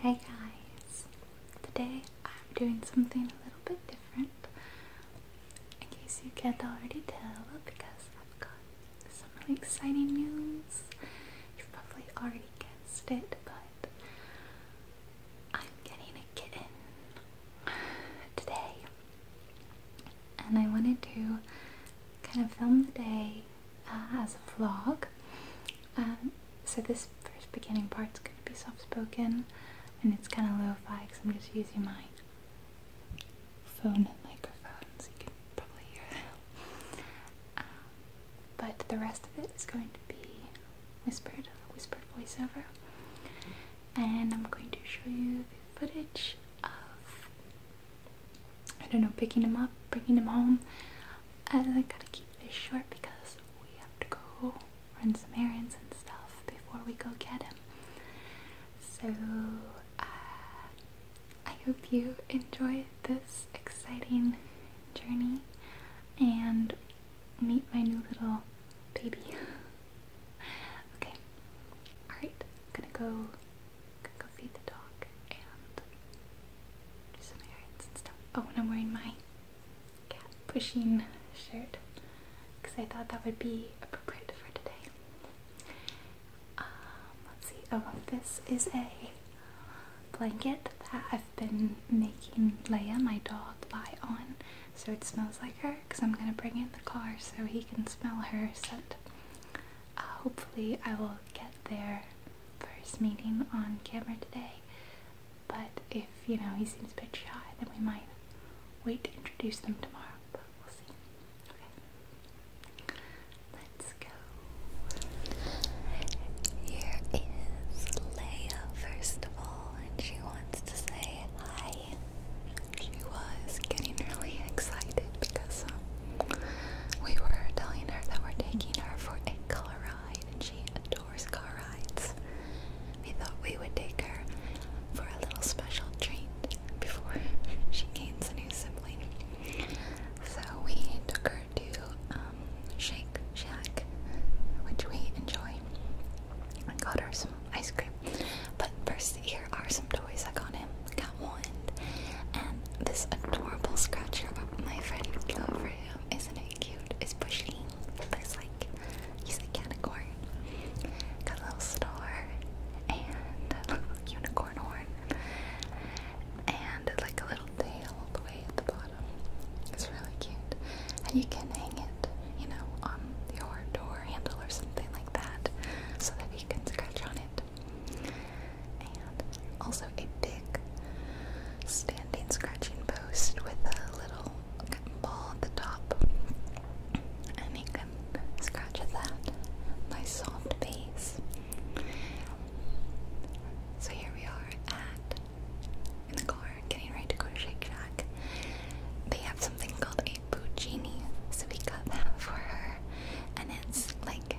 Hey guys! Today I'm doing something a little bit different in case you can't already tell because I've got some really exciting news. You've probably already guessed it, but I'm getting a kitten today and I wanted to kind of film the day uh, as a vlog. Um, so this first beginning part's going to be soft-spoken and it's kind of low fi because I'm just using my phone microphone so you can probably hear it. Um, but the rest of it is going to be whispered, whispered voiceover. And I'm going to show you the footage of I don't know, picking him up, bringing him home. I, I gotta keep this short because we have to go run some errands and stuff before we go get him. So, uh, I hope you enjoy this exciting journey and meet my new little baby. okay, alright, I'm gonna go could go feed the dog and do some errands and stuff. Oh, and I'm wearing my cat pushing shirt because I thought that would be appropriate for today. Um, let's see. Oh, this is a blanket that I've been making Leia, my dog, lie on so it smells like her because I'm going to bring in the car so he can smell her scent hopefully I will get their first meeting on camera today. But if you know he seems a bit shy, then we might wait to introduce them tomorrow. But we'll see. Okay, let's go. Here is Leia first of all, and she wants to say hi she was getting really excited because um, we were telling her that we're taking her for a car ride and she adores car rides. We thought we would take her for a little special treat before she gains a new sibling. So we took her to um, Shake Shack, which we enjoy. I got her some ice cream. But first, here are some toys I got him. Catwoman, and this adorable scratcher my friend got for Isn't it cute? It's pushing. It's like, he's a category. Got a little star and a unicorn horn and like a little tail all the way at the bottom. It's really cute, and you can hang it, you know, on your door handle or something like that, so that you can scratch on it. And also a big standing scratching post with a little ball at the top. And he can scratch at that. Nice soft base. So here we are at in the car, getting ready to go to Shake Shack. They have something called a my so we got that for her, and it's like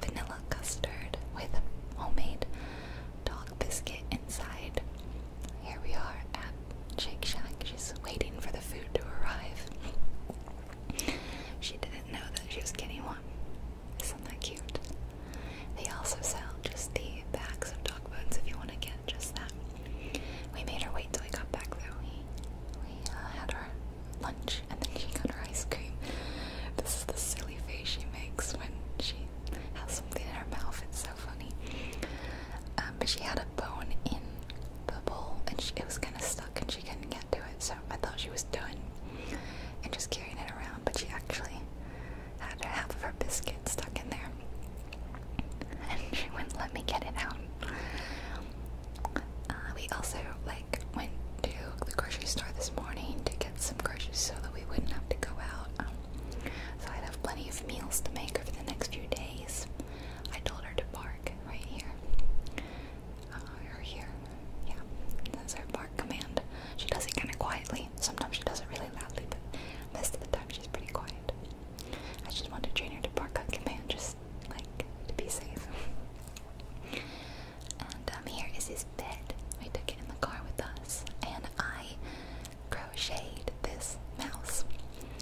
vanilla custard with homemade dog biscuit inside. Here we are at Shake Shack. She's waiting for the food to arrive. she didn't know that she was getting one. Isn't that cute? They also sell just the bags of dog bones if you want to get just that. We made her wait till we got back though. We, we uh, had our lunch and then she got her ice cream. This is the silly face she makes when she has something in her mouth. It's so funny. Um, but she had a bone in the bowl and it was kind of stuck and she couldn't get to it. So I thought she was done and just carrying it around. But she actually had half of her biscuit stuck in there. And she wouldn't let me get it out. Uh, we also like went to the grocery store this morning to get some groceries so that we wouldn't have to go out. Um, so I'd have plenty of meals to make over the next few days. I told her to bark right here. Uh, here. Yeah, that's her bark command. She does it kind of quietly. Sometimes she does it really loudly, but most of the time she's pretty quiet. I just want to train her to park on command, just like to be safe. and um, here is his bed. We took it in the car with us, and I crocheted this mouse.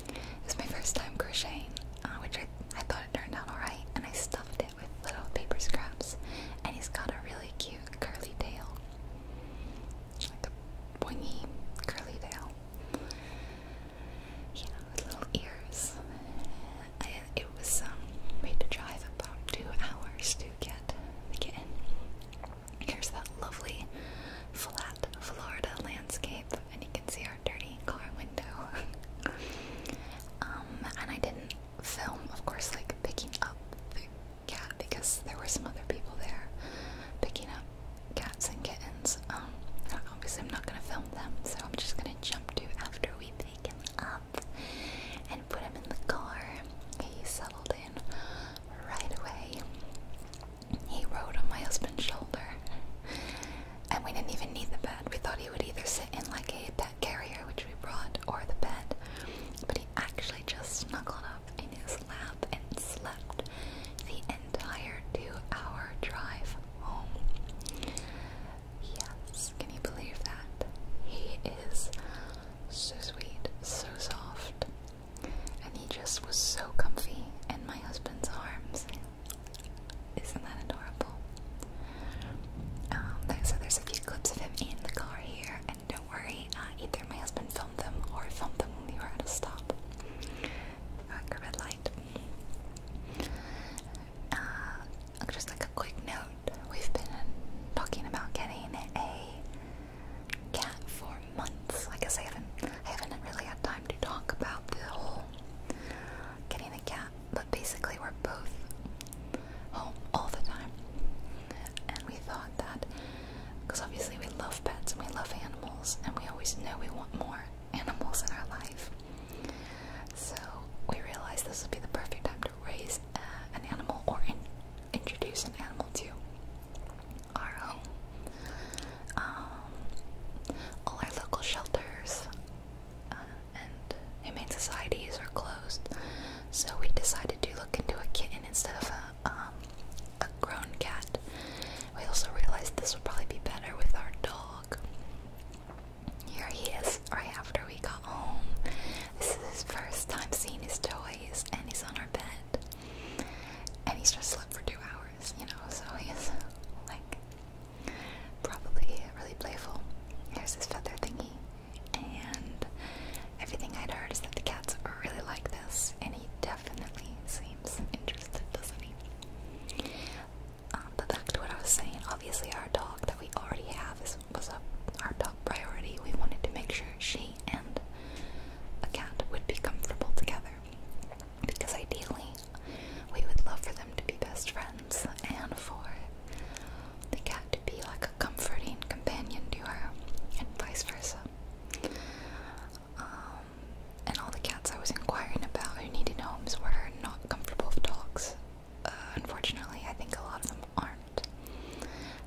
It was my first time crocheting, uh, which I, I thought it turned out alright, and I stuffed it with little paper scraps, and he's got a really cute curly tail. Like a pointy curly tail you with little ears. it was, um, we had to drive about two hours to get the kitten. Here's that lovely flat Florida landscape, and you can see our dirty car window. um, and I didn't film, of course, like picking up the cat because there were some other people there picking up cats and kittens. Um, obviously, I'm not gonna film them, so I'm just gonna jump to after we pick him up and put him in the car. He settled in right away. He rode on my husband's shoulder, and we didn't even need the bed. We thought he would either sit in like a pet carrier, which we brought, or the bed, but he actually just snuggled up in his lap and slept the entire two hour drive home. Yes, can you believe that? He is so sweet, so soft, and he just was so comfy in my husband's arms. Isn't that adorable? Um, so there's a few clips of him in the car here, and don't worry, uh, either my husband filmed them or filmed them when we were at a stop. Uh, red light. Uh, just like a quick note, we've been talking about getting a cat for months. I guess I haven't, I haven't really had time to talk about the whole getting a cat, but basically we're both home all the time. And we thought that, because obviously we love pets and we love animals, and we always know we want more animals in our life. So we realized this would be the perfect time to raise uh, an animal or introduce an animal to our home. Um, all our local shelters uh, and humane societies are closed, so we decided to look into a kitten instead of a, um, a grown cat we also realized this would probably be better with our dog. Here he is right after we got home. This is his first time seeing his toys, and he's on our bed. And he's just slept for two hours, you know, so he's like probably really playful. Here's his feather thingy. And everything I'd heard is that the cats really like this, and he definitely seems interested, doesn't he? Um, but back to what I was saying, obviously our dog that we already have is, was a, our top priority. We wanted to make sure she and a cat would be comfortable together. Because ideally, we would love for them to be best friends and for the cat to be like a comforting companion to her and vice versa. Um, and all the cats I was inquiring about who needed homes were not comfortable with dogs. Uh, unfortunately, I think a lot of them aren't.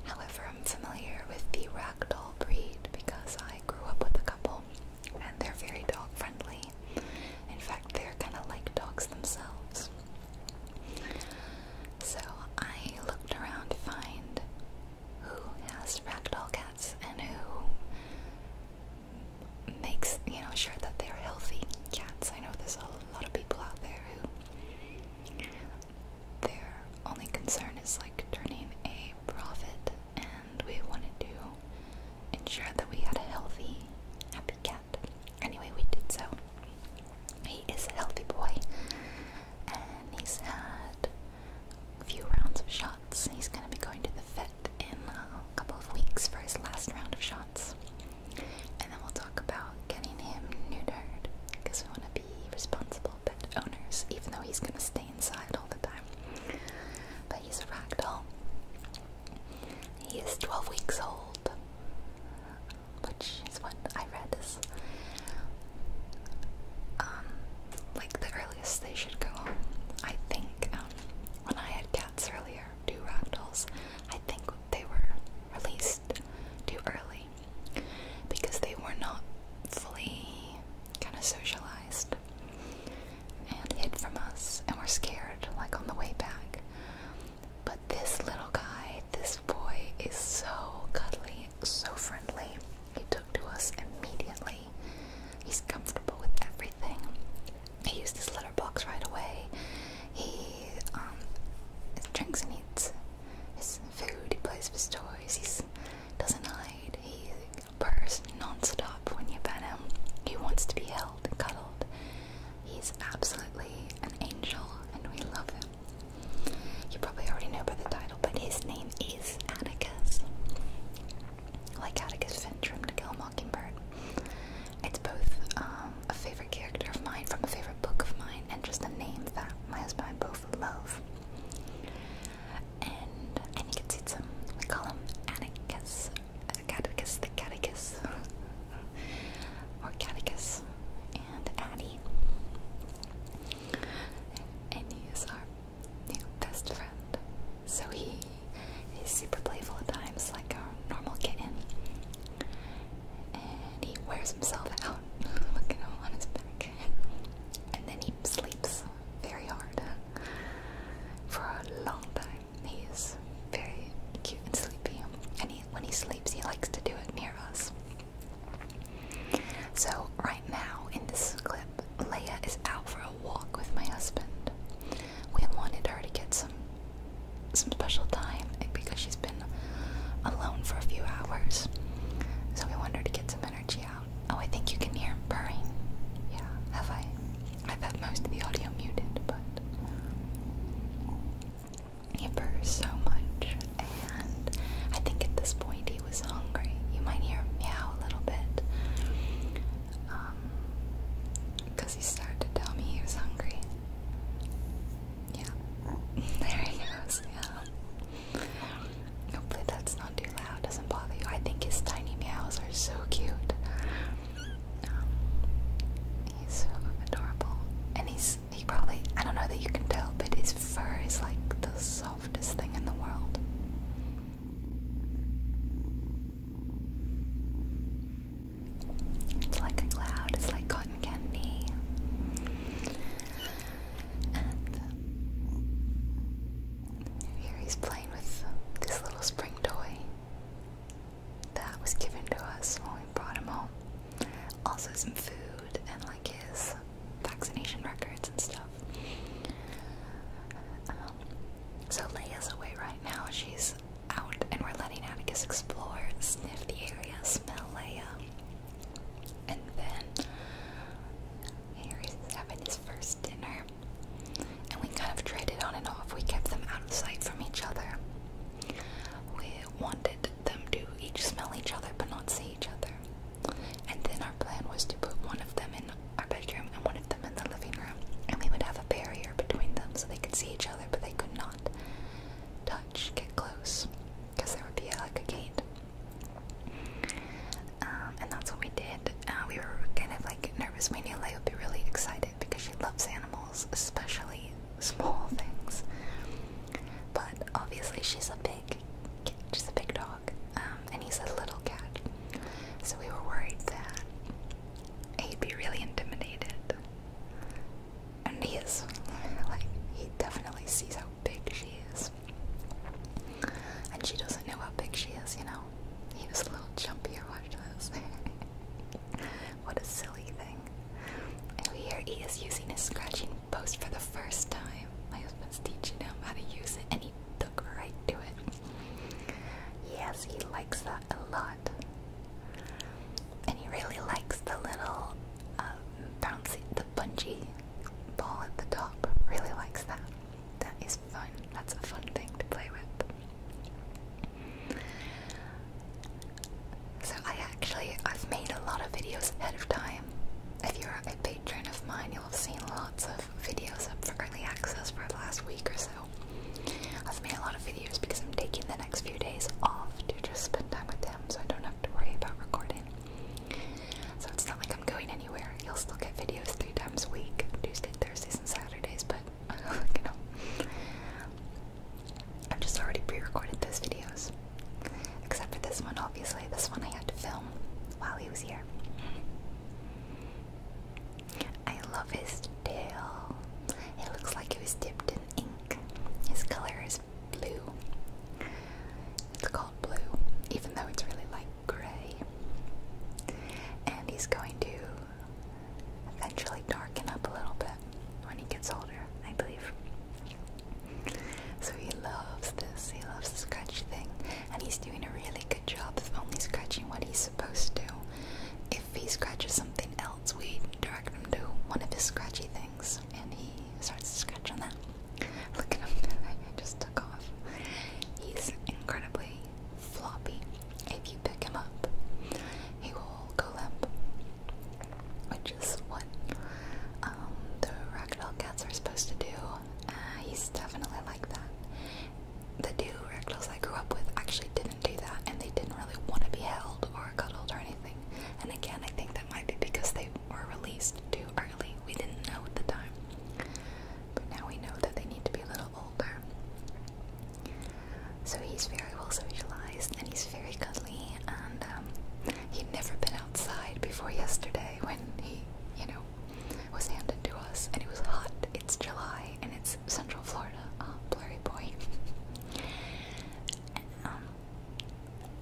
However, I'm familiar with the ragdoll breed because I grew up with a couple, and they're very dog friendly. In fact, they're kind of like dogs themselves. So I looked around to find who has ragdoll cats and who makes you know sure that they're healthy cats. I know there's a lot of people out there who their only concern is like turning a profit, and we wanted to ensure that we had a healthy, happy cat. Anyway, we did so. He is a healthy boy, and he's had a few rounds of shots. He's going to be going to the vet in a couple of weeks for his last round of shots. And then we'll talk about getting him neutered because we want to be responsible pet owners, even though he's going to stay inside all the time. But he's a ragdoll. He is 12 weeks old, which is what I read is. Um, like the earliest they should go home. I think um, when I had cats earlier, two ragdolls, I think they were released too early because they were not fully kind of socialized and hid from us and were scared like on the way back. But this little guy, this boy, is so cuddly, so friendly. He took to us immediately. He's comfortable with everything. He uses his litter box right away. He um, drinks and eats his food. He plays with his toys. He doesn't hide. He purrs non when you pet him. He wants to be held and cuddled. He's absolutely an angel, and we love him. You probably already know by the title, but his name is Atticus like Atticus Finch To Kill a Mockingbird. It's both um, a favorite character of mine from a favorite book of mine and just a name that my husband and I both love. And I think it's, it's we call him Atticus, Catechus the Catechus, or Catechus, and Addie. And he is new best friend. So he is super playful at times, like a normal kitten. And he wears himself out, look on his back. And then he sleeps very hard for a long time. He is very cute and sleepy. And he, when he sleeps, he likes to do it near us. So, right now in this clip, Leia is out for a walk with my husband. We wanted her to get some some special time because she's been alone for a few hours. So we wanted her to get some energy out. Oh, I think you can hear him purring. Yeah, have I? I've had most of the audio muted, but he purrs so much, and I think at this point he was hungry. You might hear meow a little bit. because um, he started to tell me he was hungry. Yeah. there he goes, yeah. Hopefully that's not too loud, doesn't bother you. I think his tiny meows are so cute. Um, he's adorable. And he's, he probably, I don't know that you can tell, but his fur is like the softest thing in the world. It's like a cloud, it's like cotton candy. Um, here he's playing with this little spring toy that was given to us when we brought him home. Also, some food and like his vaccination records and stuff so Leia's away right now. She's out, and we're letting Atticus explore, sniff the area, smell Leia. And then Harry's having his first dinner. And we kind of traded on and off. We kept them out of sight from each other. We wanted them to each smell each other but not see each other. And then our plan was to put one of them in our bedroom and one of them in the living room. And we would have a barrier between them so they could see each other, but they could not touch, get close, because there would be like a gate. Um, and that's what we did. Uh, we were kind of like nervous. We knew Leia would be really excited because she loves animals, especially small things. But obviously, she's a big, she's a big dog dog, um, and he's a little cat. So we were worried that he'd be really intimidated. And he is. Like, he definitely sees how big she is. And she doesn't know how big she is, you know? He was a little jumpy or watch this. what a silly thing. And here he is using his scratching post for the first time. My husband's teaching him how to use it, and he right to it. Yes, he likes that a lot. And he really likes the little um, bouncy, the bungee ball at the top. Really likes that. That is fun. That's a fun thing to play with. So I actually I've made a lot of videos ahead of time. If you're a patron of mine, i have seen lots of videos up for early access for the last week or so. I've made a lot of videos because I'm taking the next few days off to just spend time with him so I don't have to worry about recording. So it's not like I'm going anywhere. You'll still get videos three times a week, Tuesday, Thursdays, and Saturdays, but you know. I've just already pre-recorded those videos. Except for this one, obviously. This one I had to film while he was here. I love his tail. It looks like it was dipped in ink. His color is blue. It's called blue, even though it's really like gray. And he's going to eventually darken up a little bit when he gets older, I believe. So he loves this, he loves the scratch thing, and he's doing a really good job of only scratching what he's supposed to. If he scratches something else, we direct him to one of his scratchy things, and he starts to scratch on that. Look at him, I just took off. He's incredibly floppy. If you pick him up, he will go limp, which is what um, the ragdoll cats are supposed to do uh, he's definitely like that. The dude reckless I grew up with actually didn't do that, and they didn't really want to be held or cuddled or anything. And again, I think that might be because they were released too early. We didn't know at the time, but now we know that they need to be a little older. So he's very well socialized, and he's very cuddly. And um, he'd never been outside before yesterday when he, you know, was handed to us, and it was hot. It's July, and it's Central Florida. Uh, blurry boy. and, um,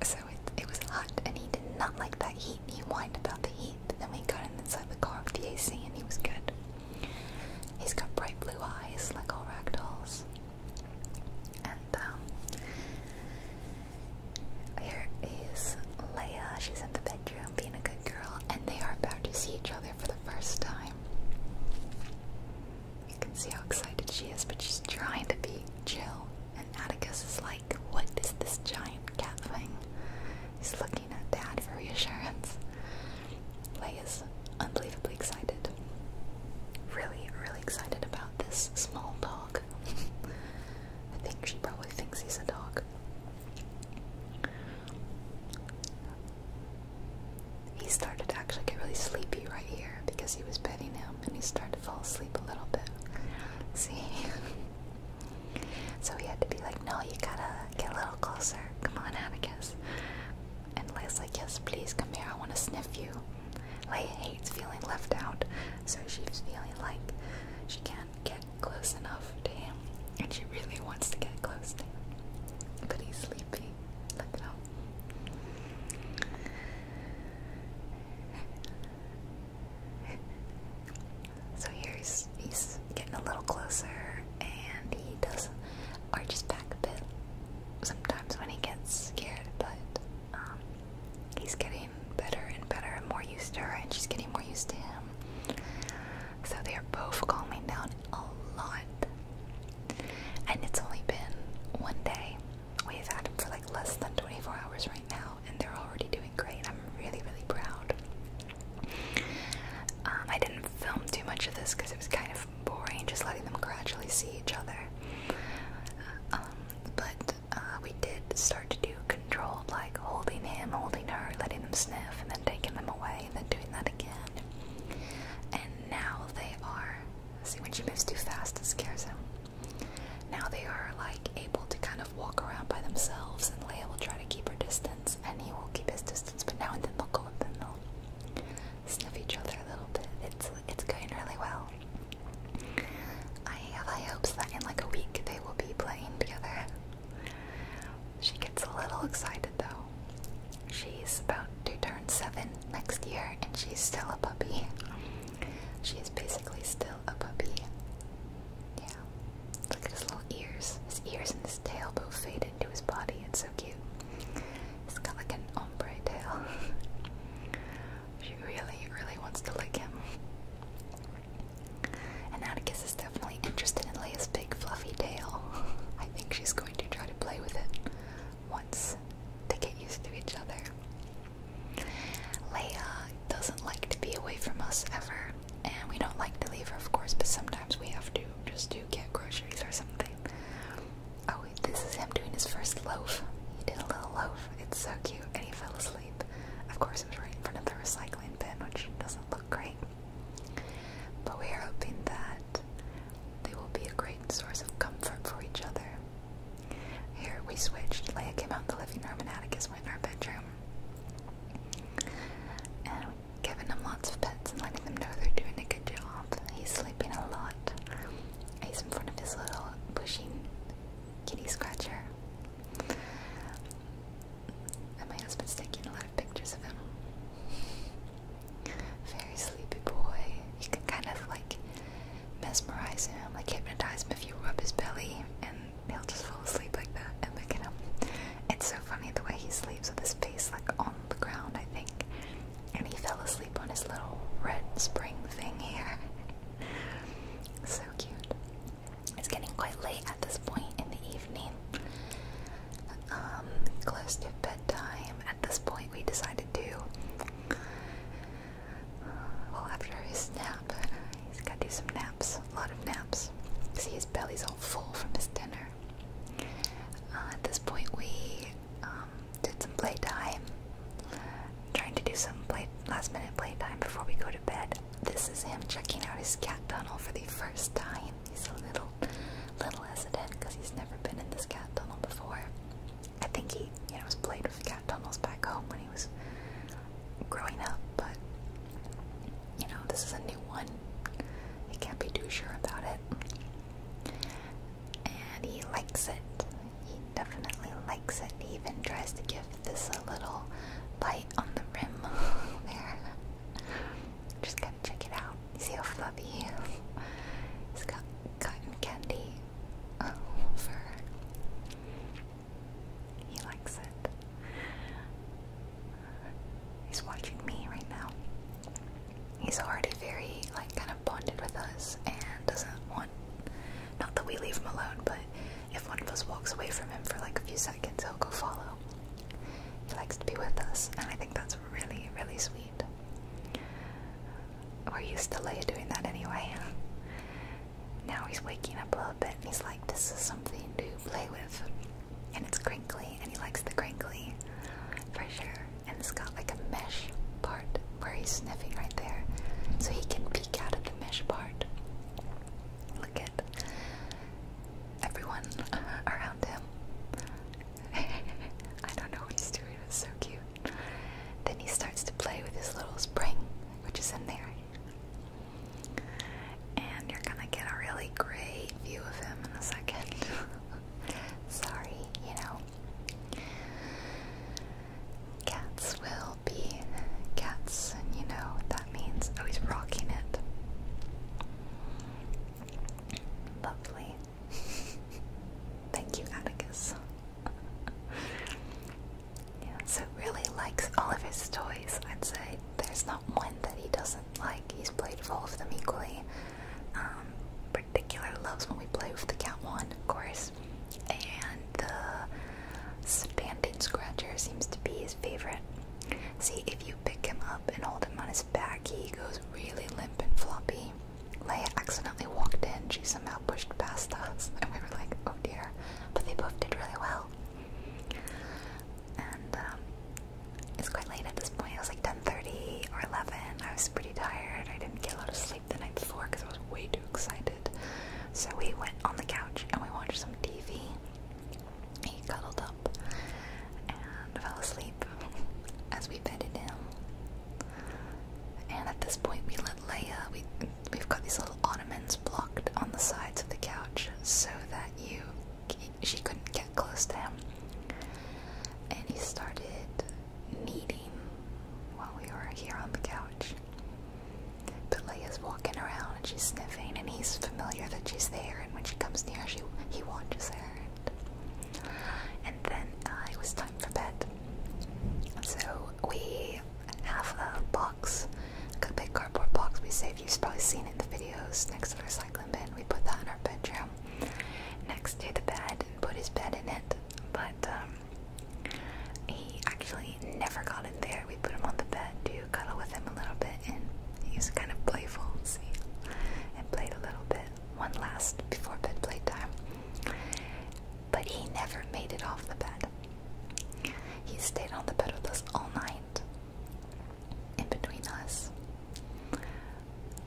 so it, it was hot, and he did not like that heat. He whined about the heat. But then we got him inside the car with the AC, and he was good. He's got bright blue eyes, like all ragdolls. And um, here is Leia. She's in the bedroom being a good girl, and they are about to see each other for the first time. You can see how excited she is, but she's trying to be chill. And Atticus is like, What is this giant cat thing? He's looking at Dad for reassurance. is unbelievably excited. Really, really excited about this small dog. I think she probably thinks he's a dog. He started to actually get really sleepy right here because he was petting him and he started to fall asleep a little bit. See? so he had to be like, no, you gotta get a little closer. Come on, Atticus. And Lay's like, yes, please come here. I want to sniff you. Leia hates feeling left out, so she's feeling like she can't get close enough to him, and she really wants to get close to him. But he's sleepy. Look at him. So here's he's getting a little closer, and he does arches back a bit sometimes when he gets scared, but um, he's getting better and better and more used to her, and she's getting more used to him. So they are both calming down a lot. And it's only been one day. We've had him for like less than 24 hours right now, and they're already doing great. I'm really, really proud. Um, I didn't film too much of this because it was kind of boring, just letting them gradually see each other. Um, but uh, we did start to do controlled, like holding him, holding her, letting them sniff, and then taking them away, and then doing that again. And now they are. See, when she moves too fast, it scares him. Now they are like able to kind of walk around by themselves, and Leia will try to keep her distance, and he will keep his distance. But now and then they'll go up and they'll sniff each other a little bit. It's it's going really well. I have high hopes that in like a week they will be playing together. She gets a little excited though. She's about to turn seven next year and she's still a puppy. She's basically still a puppy. Yeah. Look at his little ears. His ears and his tail both fade into his body. It's so cute. He's got like an ombre tail. she really, really wants to lick him. And Atticus is definitely interested in Leia's big fluffy tail. I think she's going to try to play with it once they get used to each other. Leia doesn't like to be away from us ever, and we don't like to leave her, of course, but sometimes we have to just to get groceries or something. Oh, this is him doing his first loaf. He did a little loaf. It's so cute, and he fell asleep. Of course, it was right in front of the recycling bin, which doesn't look great. But we are hoping that they will be a great source of comfort for each other. Here we switched. Leia came out in the living room and Atticus went in our bedroom. And giving them lots of pets and letting them know they're doing a good job. He's sleeping a lot. He's in front of his little pushing kitty scratcher. And my husband's taking a lot of pictures of him. Very sleepy boy. You can kind of like mesmerize him, like hypnotize him if you rub his belly, and he'll just fall asleep like that. And wake at him. It's so funny the way he sleeps with his face like on the ground, I think. And he fell asleep on his little red spring thing here. so cute. It's getting quite late at this point in the evening, um, close to bedtime. At this point, we decided to. Well, after his nap, he's got to do some naps, a lot of naps. See, his belly's all full from his dinner. Uh, at this point, we um, did some playtime. I'm trying to do some play last minute playtime before we go to bed. This is him checking out his cat tunnel for the first time. He's a little, little hesitant because he's never been in this cat tunnel before. I think he, you know, has played with cat tunnels back home when he was growing up, but you know, this is a new one. He can't be too sure about it. And he likes it. He definitely likes it. He even tries to give this a little bite on the rim there. Just gotta check it out. See how fluffy he has got cotton candy uh, fur. He likes it. He's watching me right now. He's already very, like, kind of bonded with us and doesn't want. Not that we leave him alone, but if one of us walks away from him for like a few seconds, he'll go follow. He likes to be with us, and I think that's really, really sweet. We're used to Leia doing that anyway. Now he's waking up a little bit and he's like, this is something to play with. And it's crinkly, and he likes the crinkly for sure. And it's got like a mesh part where he's sniffing right there, so he can peek out of the mesh part. Look at everyone around him. I don't know what he's doing, it's so cute. Then he starts to play with his little spring, which is in there. And you're gonna get a really great view of him in a second. Sorry, you know. Cats will be cats, and you know that means. Oh, he's rocking it. Lovely. Thank you, Atticus. yeah, so really likes all of his toys. I'd say there's not one that he doesn't like. He's played with all of them equally. Um, particular loves when we play with the cat one, of course and the standing scratcher seems to be his favorite. See, if you pick him up and hold him on his back, he goes really limp and floppy. Leia accidentally walked in, she somehow pushed past us, and we were like, oh dear. But they both did really well. And um, it's quite late at this point, it was like 10.30 or 11, I was pretty tired, I didn't get a lot of sleep the night before because I was way too excited. So we went on the couch and we watched some TV. He cuddled up and fell asleep as we bedded him. And at this point, we let Leia. We we've got these little ottomans blocked on the sides of the couch so that you she couldn't get close to him. And he started kneading while we were here on the couch. But Leia's walking around and she's sniffing, and he's familiar that she's there. And when she comes near, she he watches her. And, then uh, it was time for bed, so we have a box, a big cardboard box we saved. You've probably seen it in the videos next to the recycling bin. We put that in our bedroom next to the bed and put his bed in it. But um, he actually never got it there. We put him on the bed to cuddle with him a little bit, and he was kind of playful, see, and played a little bit. One last before bed playtime. But he never made it off the bed. He stayed on the bed with us all night, in between us.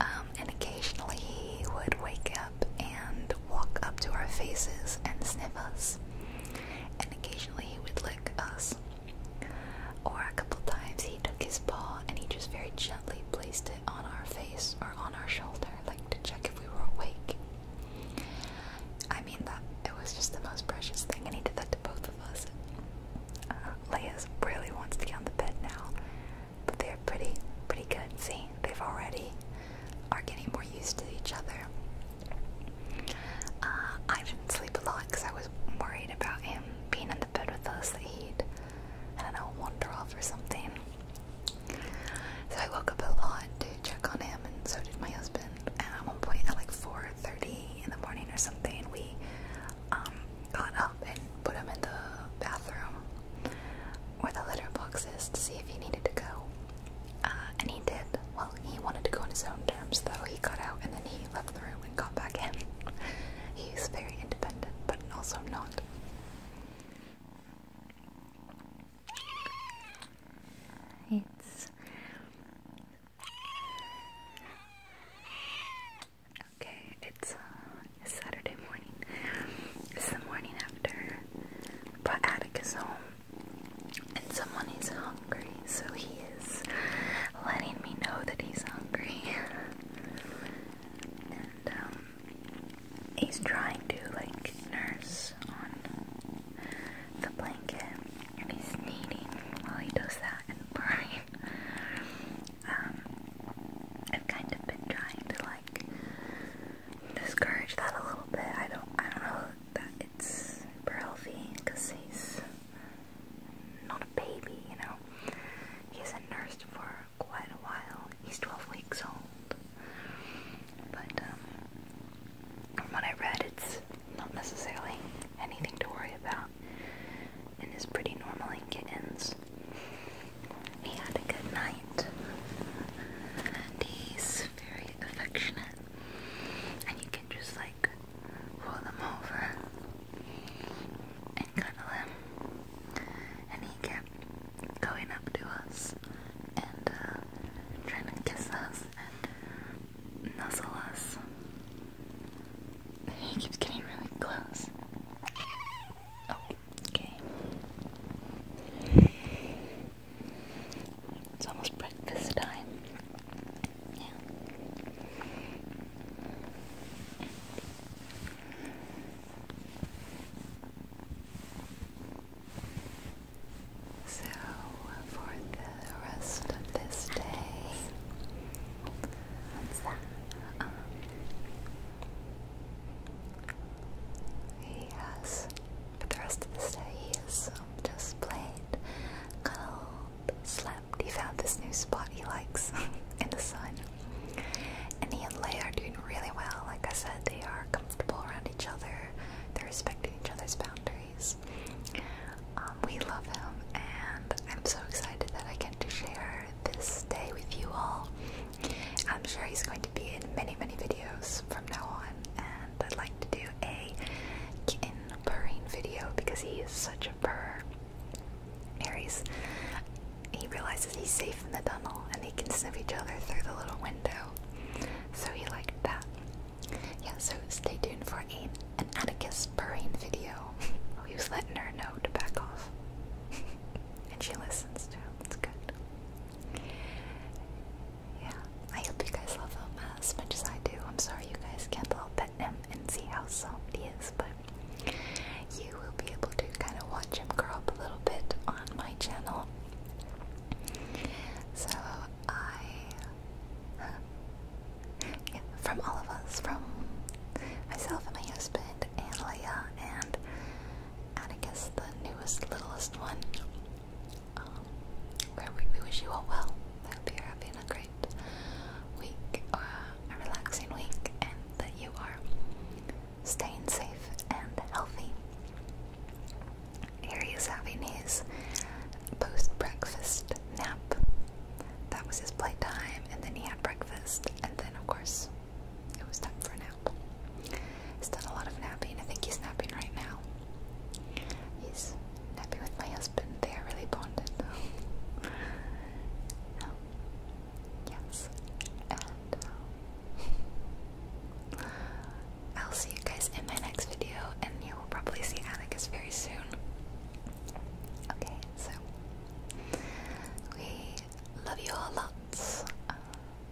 Um, and occasionally he would wake up and walk up to our faces and sniff us. And occasionally he would lick us. Or a couple times he took his paw and he just very gently placed it on our face or on our shoulder, like to check if we were awake. I mean, that it was just the most precious thing, and he did that to both of us. Uh, really wants to be on the bed now, but they're pretty, pretty good. See, they've already are getting more used to each other. Uh, I didn't sleep a lot because I was worried about him being in the bed with us that he and I do wander off or something. So I woke up a lot to check on him, and so did my husband. And at one point, at like 4:30 in the morning or something, we um, got up and put him in the bathroom where the litter box is to see if he needed to go. Uh, and he did. Well, he wanted to go on his own terms, though. He got out and then he left the room and got back in. He's very independent, but also not. It's. Okay, it's uh, Saturday morning. It's the morning after. But Atticus home, and someone is hungry, so he is letting me know that he's hungry. and um, he's trying to like nurse on the blanket, and he's kneading while he does that and burning. um, I've kind of been trying to like discourage that a little bit. I don't I don't know that it's super healthy because he's not a baby, you know. He hasn't nursed for quite a while. He's 12 weeks old. But um, from what I read, it's not necessarily anything to worry about and is pretty normal in kittens. He had a good night. And he's very affectionate. And you can just like roll him over and cuddle him. And he kept going up to us and uh, trying to kiss us and nuzzle us. He keeps getting really close. Oh, okay. It's almost breakfast time. Yeah. So, for the rest of this day, um, he has, for the rest of this day, he is um, just played, cuddled, slept. He found this new spot he likes in the sun. And he and Leia are doing really well. Like I said, they are comfortable around each other, they're respecting each other's boundaries. Um, we love him, and I'm so excited that I get to share this day with you all. I'm sure he's going to be in many, many videos from now on, and I'd like to do a kitten purring video because he is such a purr. Aries, he realizes he's safe in the tunnel and they can sniff each other through the little window, so he liked that. Yeah, so stay tuned for a, an Atticus purring video. he was letting her know to back off, and she listens to him. It's good. Yeah, I hope you guys love him as much as I do. I'm sorry you guys can't all pet him and see how soft he is, but you will be able to kind of watch him grow up a little bit on my channel. So I, uh, from all of us, from myself and my husband and Leah and Atticus, the newest, littlest one. Um, where we, wish you all well. I hope you're having a great week, a relaxing week, and that you are staying safe and healthy. Here is having his post breakfast nap. That was his playtime, and then he had breakfast, and then, of course, it was time for a nap. He's done a lot of napping. I think he's napping right now. He's napping with my husband. They are really bonded. um, yes. And um, I'll see you guys in my next video, and you will probably see Atticus very soon. Okay, so we love you all lots. I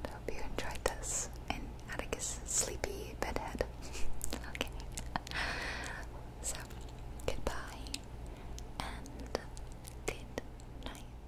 hope you enjoyed this. And Atticus is sleepy bedhead. okay. So, goodbye and good night.